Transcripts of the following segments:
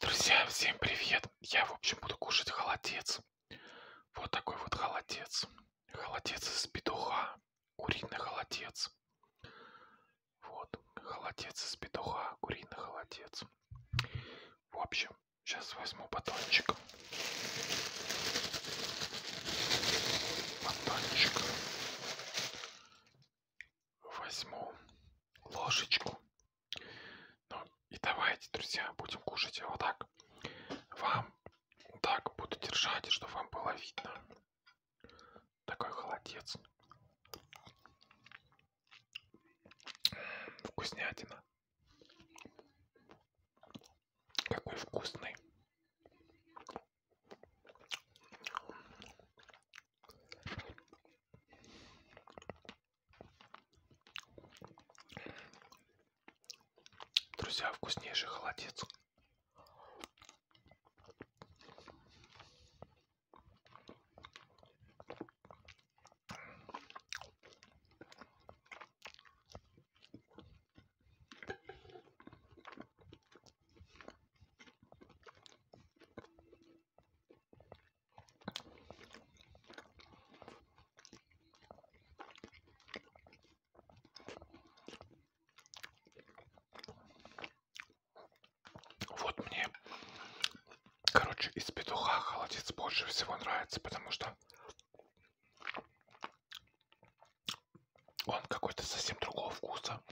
Друзья, всем привет! Я, в общем, буду кушать холодец. Вот такой вот холодец. Холодец из петуха. Куриный холодец. Вот, холодец из петуха. Куриный холодец. В общем, сейчас возьму батончик. Батончик. Возьму ложечку ну, и давайте, друзья, будем кушать вот так. Вам так буду держать, чтобы вам было видно. Такой холодец. Вкуснятина. Какой вкусный. Друзья, вкуснейший холодец. Вот мне, короче, из петуха холодец больше всего нравится, потому что он какой-то совсем другого вкуса.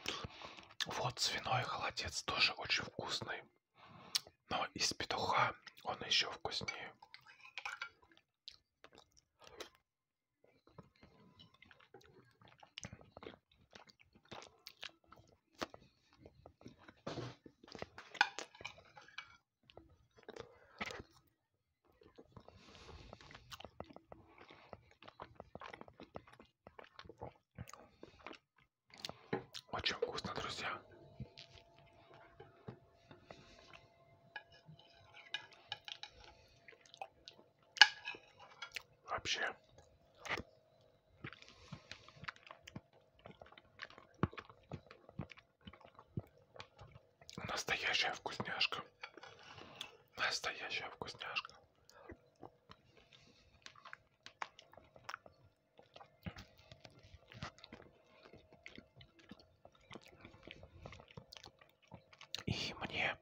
Вот свиной холодец тоже очень вкусный но из петуха он еще вкуснее. Очень вкусно, друзья. Вообще. Настоящая вкусняшка. Настоящая вкусняшка. И мне,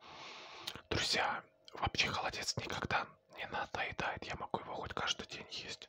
друзья, вообще холодец никогда не надоедает. Я могу его хоть каждый день есть.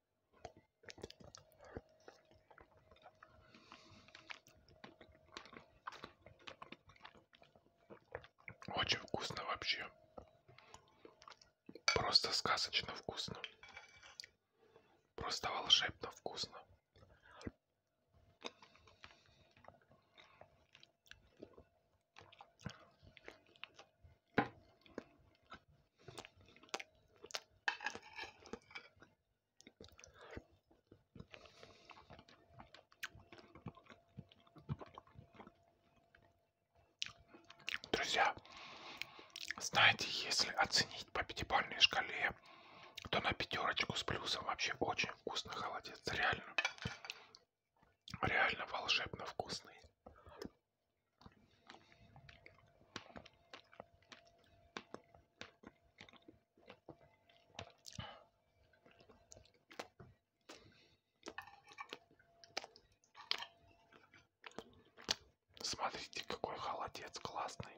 Очень вкусно вообще. Просто сказочно вкусно. Просто волшебно вкусно. Друзья, знаете, если оценить по пятибалльной шкале, то на пятерочку с плюсом вообще очень вкусно холодец. Реально. Реально волшебно вкусный. Смотрите, какой холодец классный.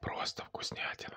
Просто вкуснятина.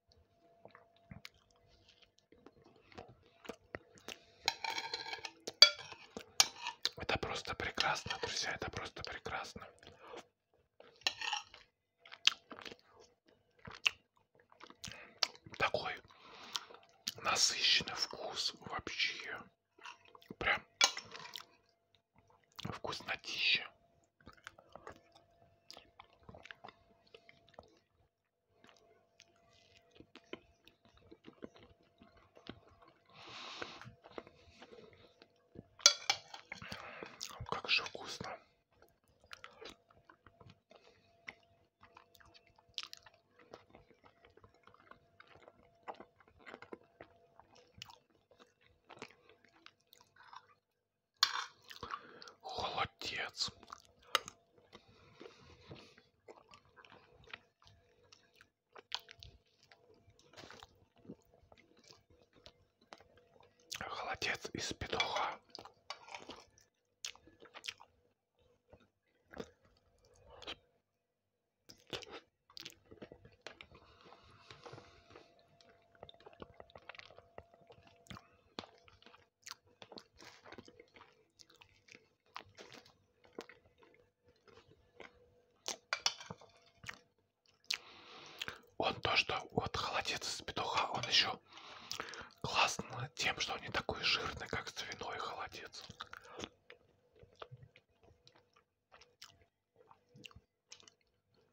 Это просто прекрасно, друзья, это просто прекрасно. Такой насыщенный вкус вообще. Прям вкуснотища. Как же вкусно холодец холодец из петуха он то, что вот холодец из петуха, он еще классно тем, что он не такой жирный, как свиной холодец.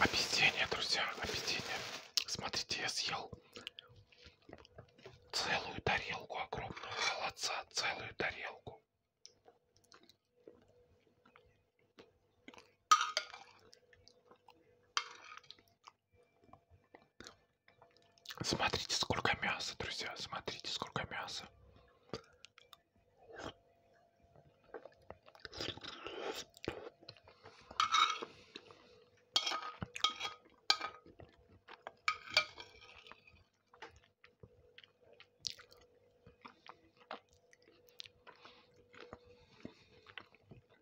Объедение, друзья, объедение. Смотрите, я съел целую тарелку огромного холодца, целую тарелку. Смотрите, сколько мяса, друзья. Смотрите, сколько мяса.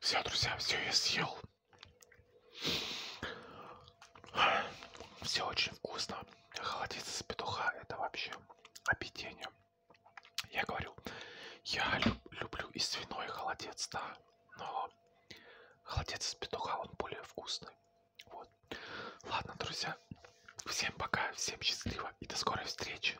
Все, друзья, все я съел. Все очень вкусно. Холодец из петуха это вообще объедение. Я говорю, я люб, люблю и свиной холодец, да, но холодец из петуха, он более вкусный. Вот. Ладно, друзья, всем пока, всем счастливо и до скорой встречи.